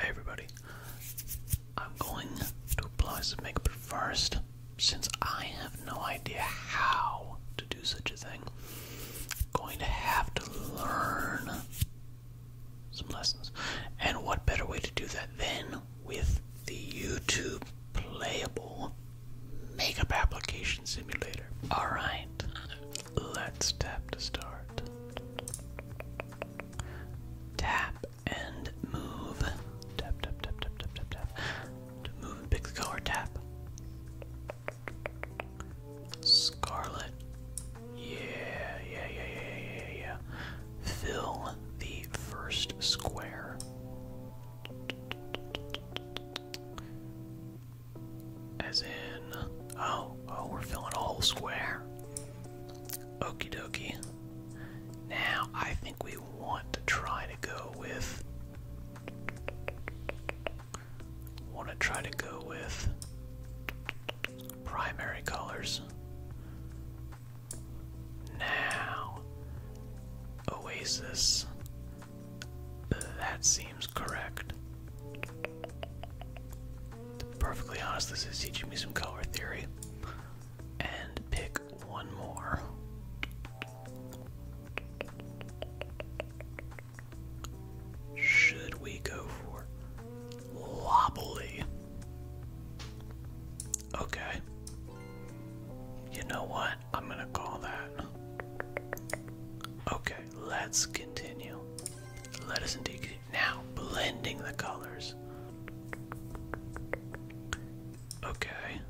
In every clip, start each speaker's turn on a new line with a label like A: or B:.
A: Hey everybody, I'm going to apply some makeup first, since I have no idea how to do such a thing. I'm going to have to learn some lessons, and what better way to do that than with the YouTube Playable Makeup Application Simulator? All right, let's tap to start. Tap and move. Tap, tap, tap, tap, tap, tap, tap. To move and pick the color, tap. Scarlet. Yeah, yeah, yeah, yeah, yeah, yeah. Fill the first square. As in, oh, oh, we're filling a whole square. Okie dokie. Now I think we want to try to go with. Want to try to go with primary colors. Now, Oasis. That seems correct. To be perfectly honest, this is teaching me some color theory. And pick one more. Should we go for wobbly? Okay. You know what? I'm gonna call that. Okay, let's continue. Let us indeed now, blending the colors. Okay.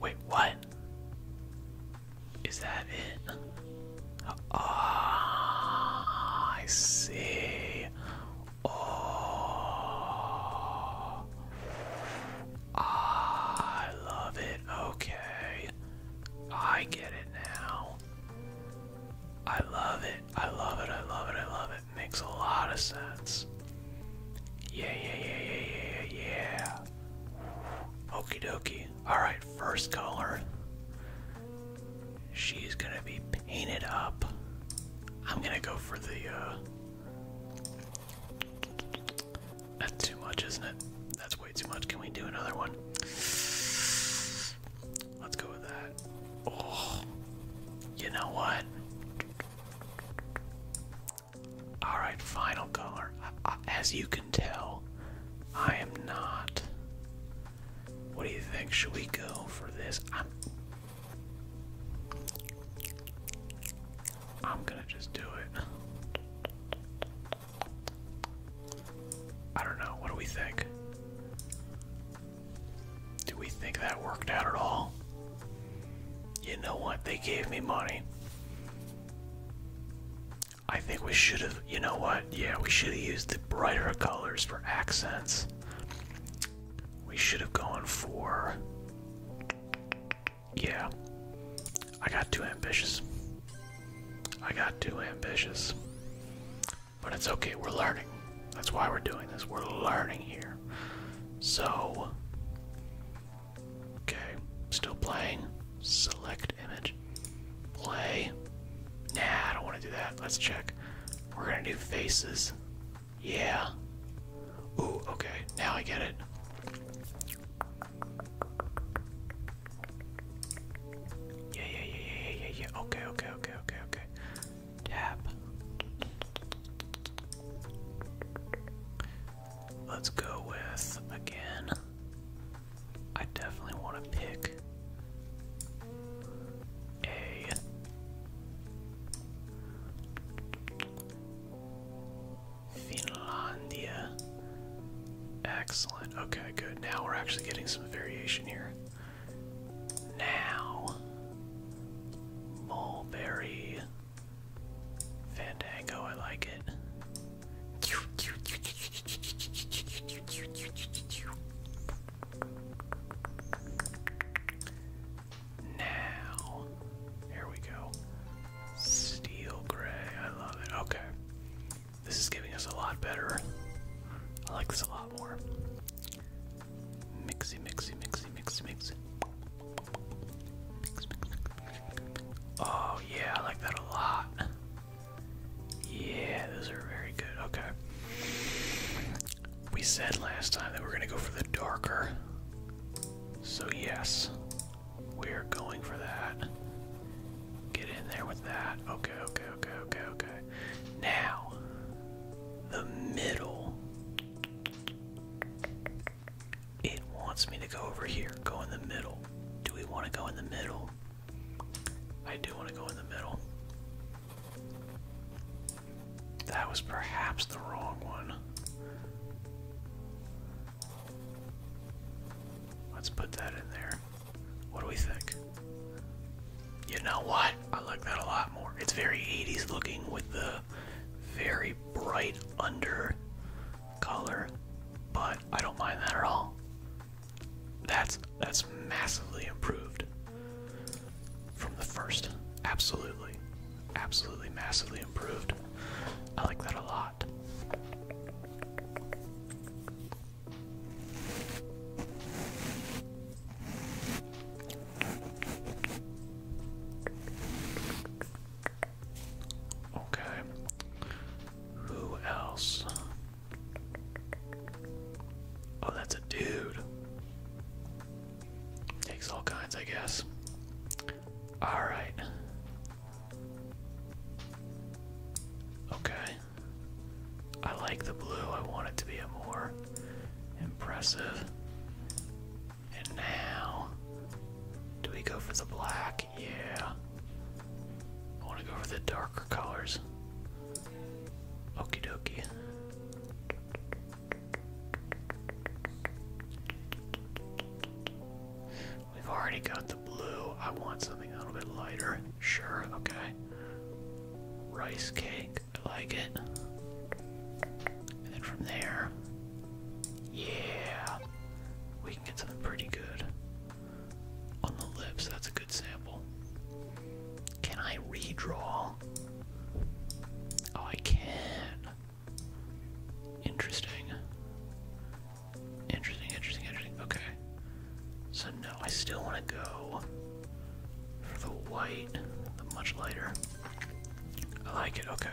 A: Wait, what? Is that it? Ah, I see. Oh, oh, I love it. Okay, I get it now. I love it. I love it. I love it. I love it. Makes a lot of sense. Yeah, yeah, yeah, yeah, yeah, yeah. Okie Alright, first color. She's gonna be painted up. I'm gonna go for the, uh, That's too much, isn't it? That's way too much. Can we do another one? Let's go with that. Oh, you know what? All right, final color. Uh, as you can tell, I am not. What do you think? Should we go for this? I'm. I'm gonna just do it. I don't know. What do we think? Do we think that worked out at all? You know what? They gave me money. I think we should have, you know what? Yeah, we should have used the brighter colors for accents. We should have gone for. Yeah. I got too ambitious. I got too ambitious. But it's okay, we're learning. That's why we're doing this. We're learning here. So, okay, still playing. Select image. Play. Nah, I don't want to do that. Let's check. We're going to do faces. Yeah. Ooh, okay. Now I get it. Yeah, yeah, yeah, yeah, yeah, yeah, yeah. Okay, okay, okay, okay, okay. Tap. Let's go with again. I definitely want to pick a Finlandia. Excellent. Okay, good. Now we're actually getting some variation here. Now, mulberry fandango, I like it. Now, here we go. Steel gray, I love it. Okay. This is giving us a lot better. I like this a lot more. Mixy, mixy, mixy, mixy, mixy. Mix, mix, mix. Oh, yeah, I like that a lot. Yeah, those are very good. Okay. We said last time that we're going to go for the darker. So, yes, we're going for that. Get in there with that. Okay, okay, okay, okay, okay. Now, the middle. It wants me to go over here, go in the middle. Do we want to go in the middle? I do want to go in the middle. That was perhaps the wrong one. Let's put that in there. What do we think? You know what? I like that a lot more. It's very 80s looking with the very bright under color, but I don't mind that at all. That's that's massively improved from the first. Absolutely. Absolutely massively improved. I like that a lot. Okay. Who else? Oh, that's a dude. Takes all kinds, I guess. All right. Okay. I like the blue. I want it to be a more impressive. And now, do we go for the black? Yeah. I want to go for the darker colors. Okie dokie. We've already got the blue. I want something a little bit lighter. Sure, okay. Rice cake. I like it. And from there, yeah, we can get something pretty good. On the lips, that's a good sample. Can I redraw? Oh, I can. Interesting. Interesting, interesting, interesting. Okay. So no, I still want to go for the white, the much lighter. I like it, okay.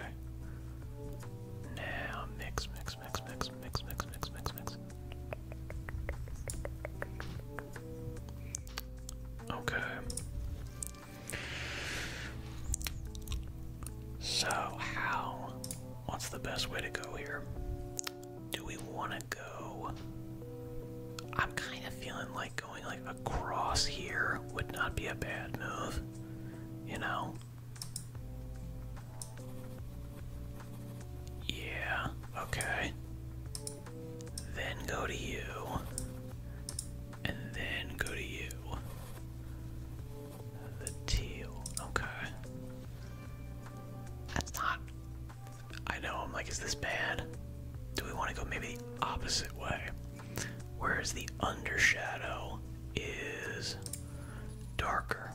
A: Now mix, mix, mix, mix, mix, mix, mix, mix, mix. Okay. So how what's the best way to go here? Do we want go. I'm kind of feeling like going like across here would not be a bad move, you know? Yeah, okay. Then go to you. And then go to you. The teal, okay. That's not I know, I'm like, is this bad? Do we want to go maybe the opposite way? Whereas the under shadow is darker.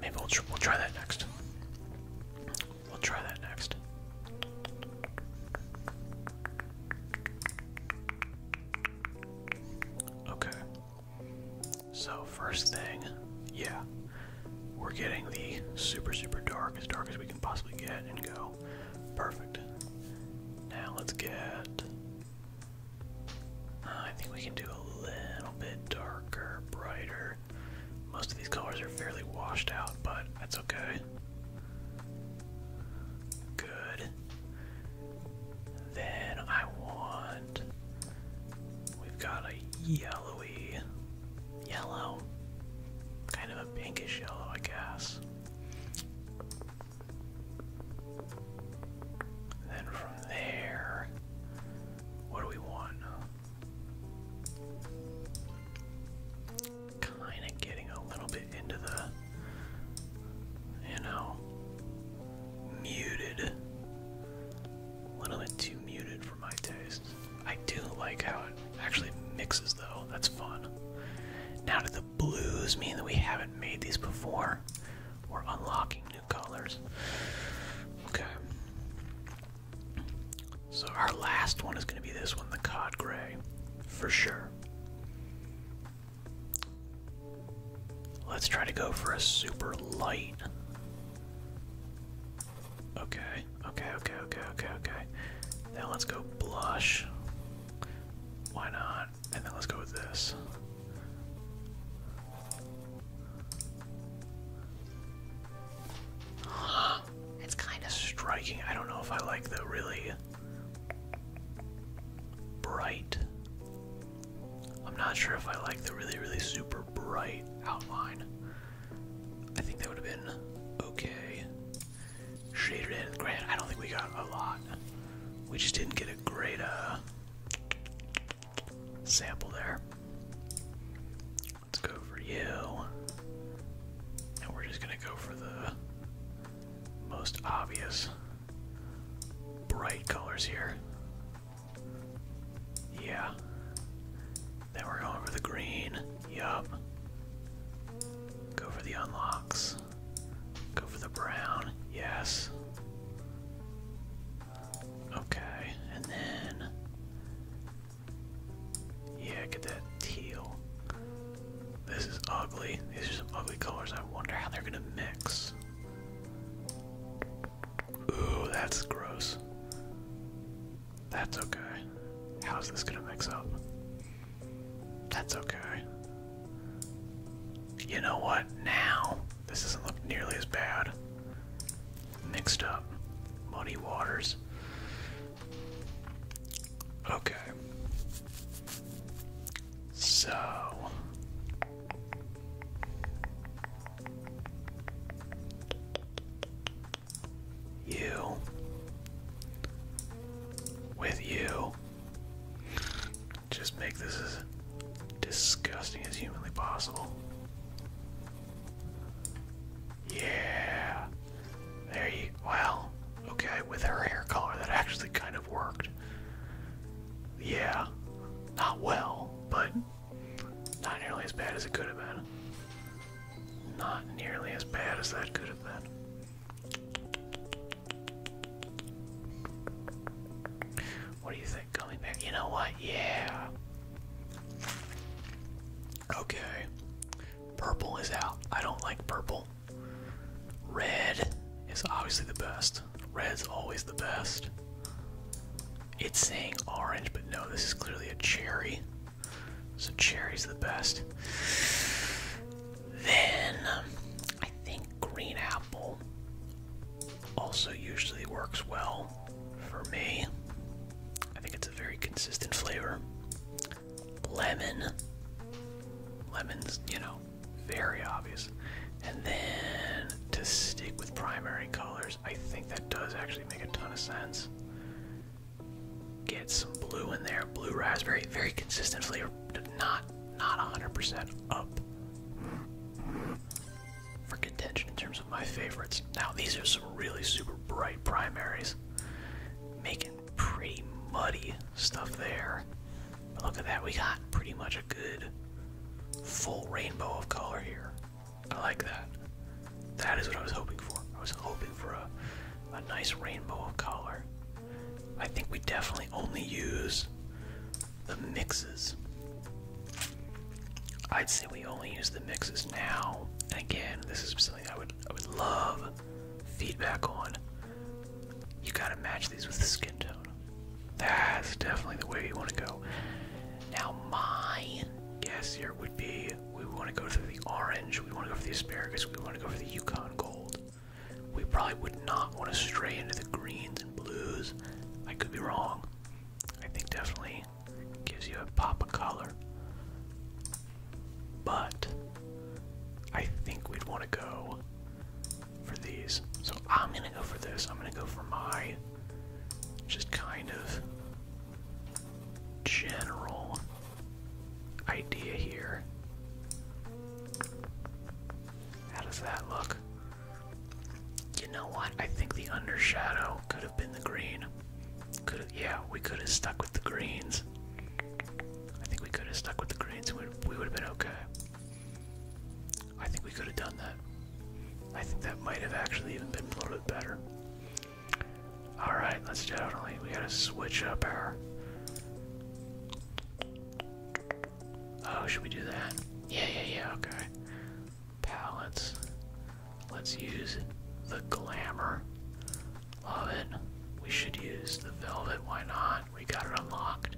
A: Maybe we'll, we'll try that next. We'll try that next. Okay. So, first thing, yeah we're getting the super, super dark, as dark as we can possibly get, and go. Perfect. Now let's get. Uh, I think we can do a little bit darker, brighter. Most of these colors are fairly washed out, but that's okay. Good. Then I want. We've got a yellowy yellow, kind of a pinkish yellow, I guess. then from there, what do we want? Kind of getting a little bit into the, you know, muted. A little bit too muted my taste. I do like how it actually mixes, though. That's fun. Now, do the blues mean that we haven't made these before? We're unlocking new colors. Okay. So, our last one is going to be this one the cod gray, for sure. Let's try to go for a super light. Okay, okay, okay, okay, okay, okay. Now let's go blush. Why not? And then let's go with this. It's kind of striking. I don't know if I like the really bright. I'm not sure if I like the really, really super bright outline. I think that would have been okay. Shaded in. Granted, I don't think we got a lot. We just didn't get a great uh, sample there. Let's go for you. And we're just gonna go for the most obvious bright colors here. Yeah. Then we're going for the green. Yup. Go for the unlocks. Go for the brown. Yes. Okay, and then. Yeah, get that teal. This is ugly. These are some ugly colors. I wonder how they're gonna mix. Ooh, that's gross. That's okay. How's this gonna mix up? That's okay. You know what? Now, this doesn't look nearly as bad. Mixed up. Muddy waters. Okay. So. You. With you. Just make this as disgusting as humanly possible. Yeah. There you. Wow. Okay, with her hair color, that actually kind of worked. Yeah. Not well, but not nearly as bad as it could have been. Not nearly as bad as that could have been. What do you think? Coming back. You know what? Yeah. Okay. Purple is out. I don't like purple. Red is obviously the best. Red's always the best. It's saying orange, but no, this is clearly a cherry. So cherry's the best. Then um, I think green apple also usually works well for me. I think it's a very consistent flavor. Lemon. Lemon's, you know, very obvious. And then to stick with primary colors, I think that does actually make a ton of sense. Get some blue in there, blue raspberry, very consistent flavor, not not 100% up for contention in terms of my favorites. Now these are some really super bright primaries, making pretty muddy stuff there. look at that, we got pretty much a good full rainbow of color here. I like that. That is what I was hoping for. I was hoping for a, a nice rainbow of color. I think we definitely only use the mixes. I'd say we only use the mixes now. And again, this is something I would I would love feedback on. You gotta match these with the skin tone. That's definitely the way you want to go. Now my guess here would be we want to go for the orange, we want to go for the asparagus, we want to go for the Yukon gold. We probably would not want to stray into the greens and blues. I could be wrong. I think definitely gives you a pop of color. But I think we'd want to go for these. So I'm gonna go for this. I'm gonna go for my just kind of general idea here. How does that look? You know what? I think the undershadow could have been the green. Could have, yeah, we could have stuck with the greens. I think we could have stuck with the greens. we would have been okay. I think we could have done that. I think that might have actually even been a little bit better. Alright, let's definitely, we gotta switch up our. Oh, should we do that? Yeah, yeah, yeah, okay. Palettes. Let's use the glamour. Love it. We should use the velvet, why not? We got it unlocked.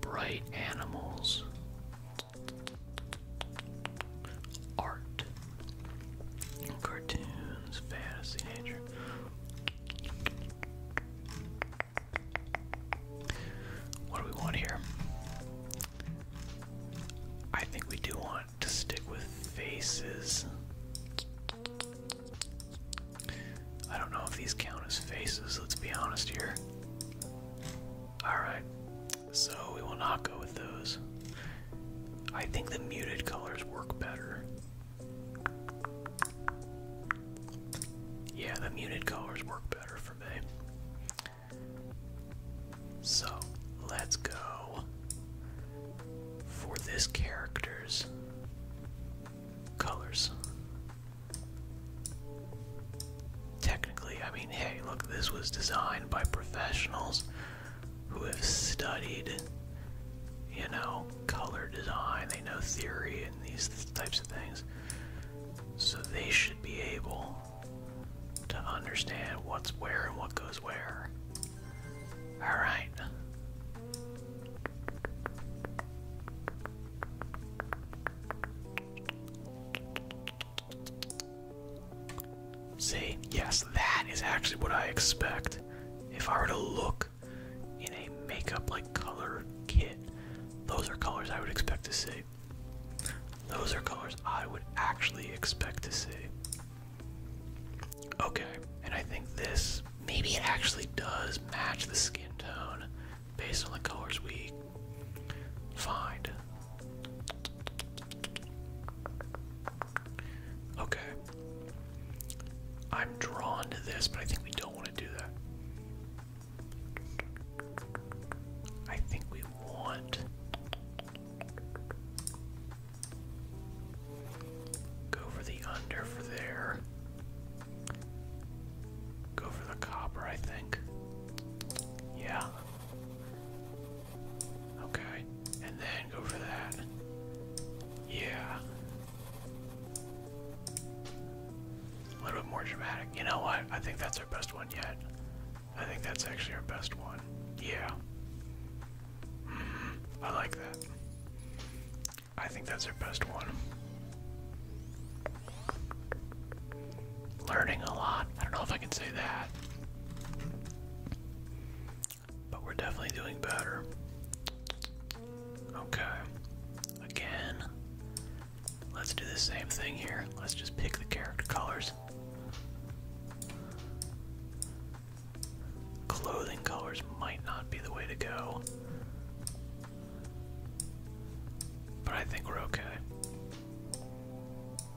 A: Bright animals art, cartoons, fantasy, nature. What do we want here? I think we do want to stick with faces. I don't know if these count as faces, let's be honest here. Alright, so we will not go with those. I think the muted colors work better. Yeah, the muted colors work better for me. So let's go for this character's colors. Technically, I mean, hey, look, this was designed by professionals who have studied, you know, color design, they know theory and these types of things. So they should be able to understand what's where and what goes where. Alright. See, yes, that is actually what I expect. If I were to look in a makeup like color kit, those are colors I would expect to see. Those are colors I would actually expect to see. Okay, and I think this maybe it actually does match the skin tone based on the colors we find. Okay. I'm drawn to this, but I think we don't want to do that. I think we want. Go for the under for there. Go for the copper, I think. Yeah. Okay, and then go for that. Yeah. A little bit more dramatic. You know what? I think that's our best one yet. I think that's actually our best one. Yeah. Mm-hmm. I like that. I think that's our best one. Learning a lot. I don't know if I can say that. But we're definitely doing better. Okay. Again. Let's do the same thing here. Let's just pick the character colors. Clothing colors might not be the way to go. But I think we're okay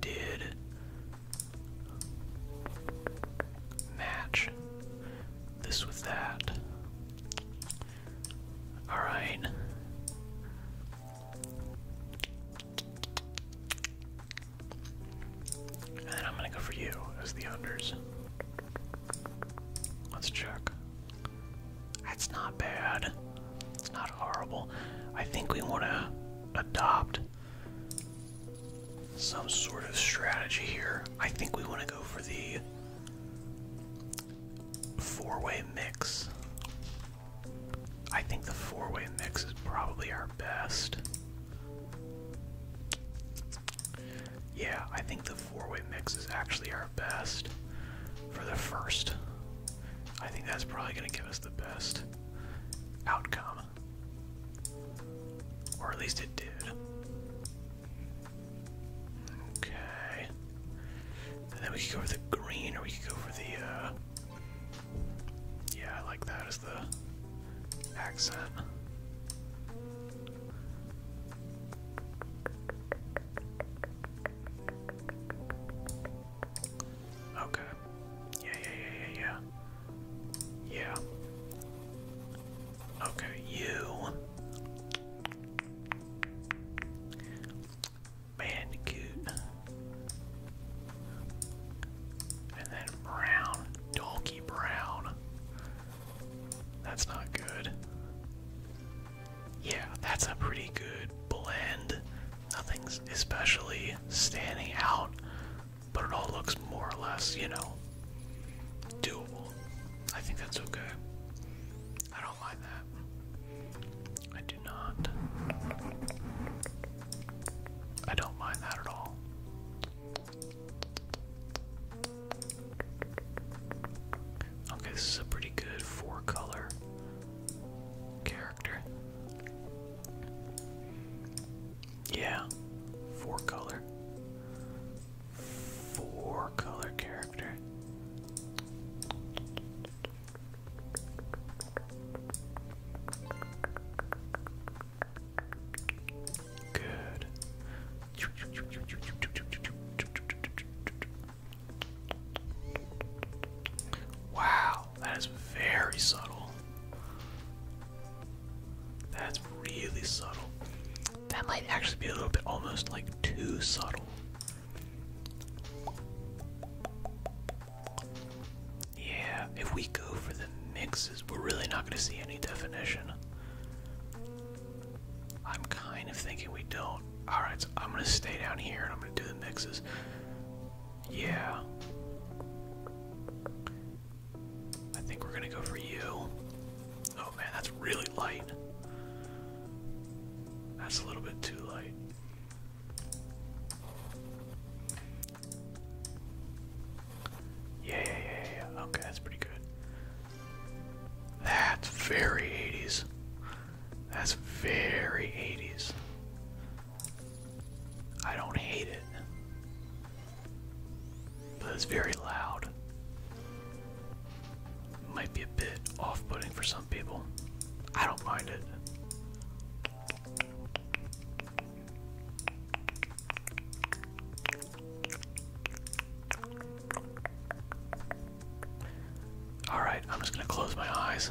A: did match this with that. Alright. And I'm gonna go for you as the unders. Let's check. That's not bad. It's not horrible. I think we want to adopt some sort of strategy here. I think we want to go for the four way mix. I think the four way mix is probably our best. Yeah, I think the four way mix is actually our best for the first. I think that's probably going to give us the best outcome. Or at least it did. Okay. then we could go for the green, or we could go for the, uh. Yeah, I like that as the accent. Okay. Yeah, yeah, yeah, yeah, yeah. Yeah. Okay, you. Bandicoot. And then brown. Donkey brown. That's not good. Yeah, that's a pretty good blend nothing's especially standing out, but it all looks more or less, you know, doable. I think that's okay. I don't mind that. I do not. I don't mind that at all. Okay, this is a pretty good four color. Yeah, four color. Four color character. Good. Wow, that is very subtle. That's really subtle. That might actually be a little bit almost like too subtle. Yeah, if we go for the mixes, we're really not going to see any definition. I'm kind of thinking we don't. Alright, so I'm going to stay down here and I'm going to do the mixes. Yeah. I think we're gonna go for you. Oh man, that's really light. That's a little bit too light. Yeah, yeah, yeah, Okay, that's pretty good. That's very 80s. That's very 80s. I don't hate it, but it's very loud. Might be a bit off putting for some people. I don't mind it. Alright, I'm just going to close my eyes.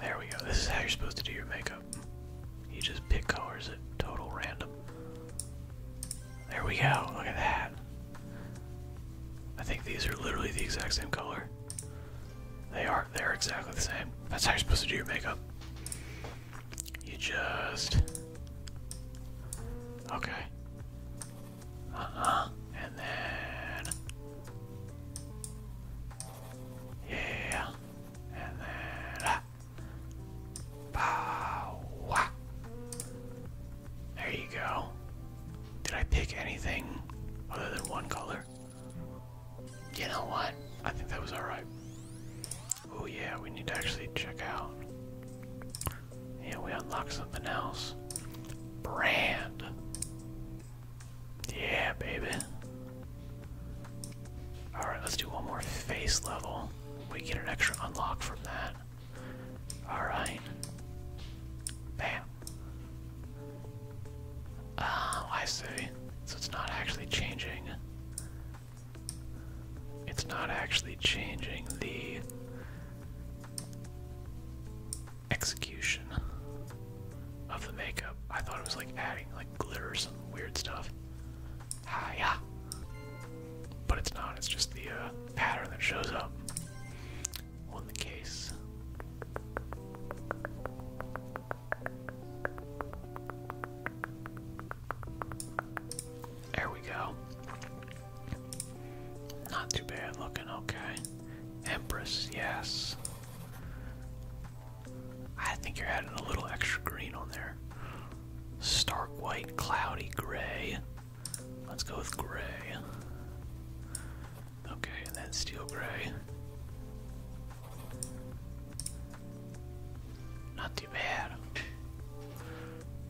A: There we go. This is how you're supposed to do your makeup. You just pick colors at total random. There we go. Look at that. I think these are literally the exact same color. They are they are exactly the same. That's how you're supposed to do your makeup. You just Okay. Uh-huh. And then Yeah. And then ah. Pow. There you go. Did I pick anything other than one color? You know what? I think that was alright. Oh yeah, we need to actually check out. Yeah, we unlock something else. Brand. Yeah, baby. Alright, let's do one more face level. We get an extra unlock from that. Alright. Bam. Ah, I see. So it's not actually changing. It's not actually changing the execution of the makeup. I thought it was like adding like glitter or some weird stuff. Ah, yeah. But it's not, it's just the uh, pattern that shows up on the case. There we go. Not too bad looking, okay. Empress, yes. I think you're adding a little extra green on there. Stark white, cloudy, gray. Let's go with gray. Okay, and then steel gray. Not too bad.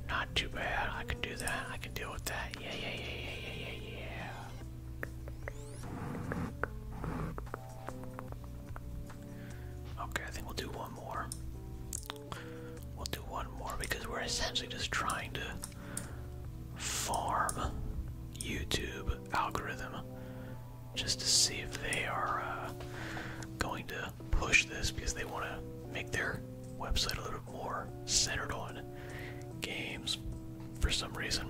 A: Not too bad. I can do that. I can deal with that. Yeah, yeah, yeah, yeah, yeah, yeah, yeah. Okay, I think we'll do one more. We'll do one more because we're essentially just trying to farm YouTube algorithm just to see if they are uh, going to push this because they want to make their website a little bit more centered on games for some reason.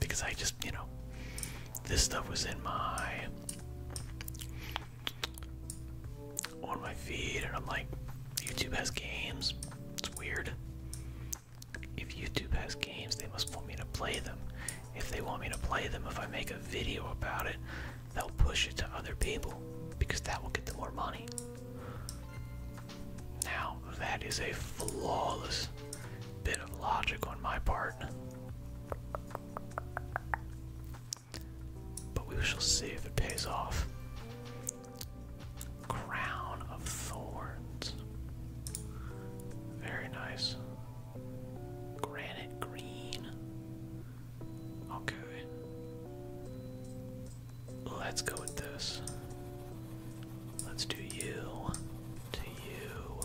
A: Because I just, you know, this stuff was in my on my feed, and I'm like, YouTube has games. It's weird. If YouTube has games, they must want me to play them. If they want me to play them, if I make a video about it, they'll push it to other people because that will get them more money. Now, that is a flawless bit of logic on my part. But we shall see if it pays off. Crown of Thorns. Very nice. Granite green. Okay. Let's go with this. Let's do you, to you,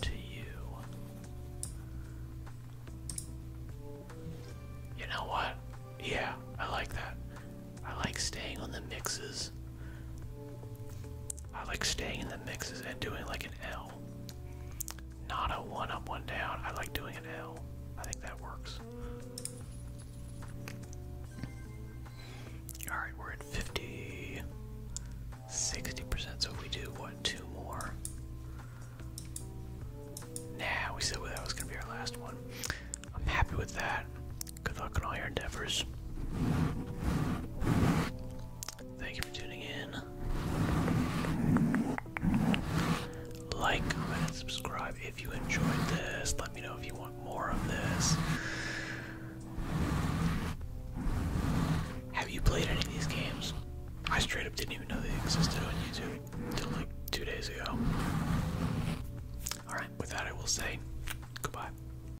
A: to you. You know what? Yeah, I like that. I like staying on the mixes. I like staying in the mixes and doing like an L. Not a one up, one down. I like doing an L. I think that works. Alright, we're at 50, 60%. So if we do, what, two more? Now we said that was going to be our last one. I'm happy with that. Good luck in all your endeavors. Thank you for tuning in. Like, and subscribe if you enjoyed this. Let me know if you want more of this. Have you played any of these games? I straight up didn't even know they existed on YouTube until like two days ago. Alright, with that, I will say goodbye.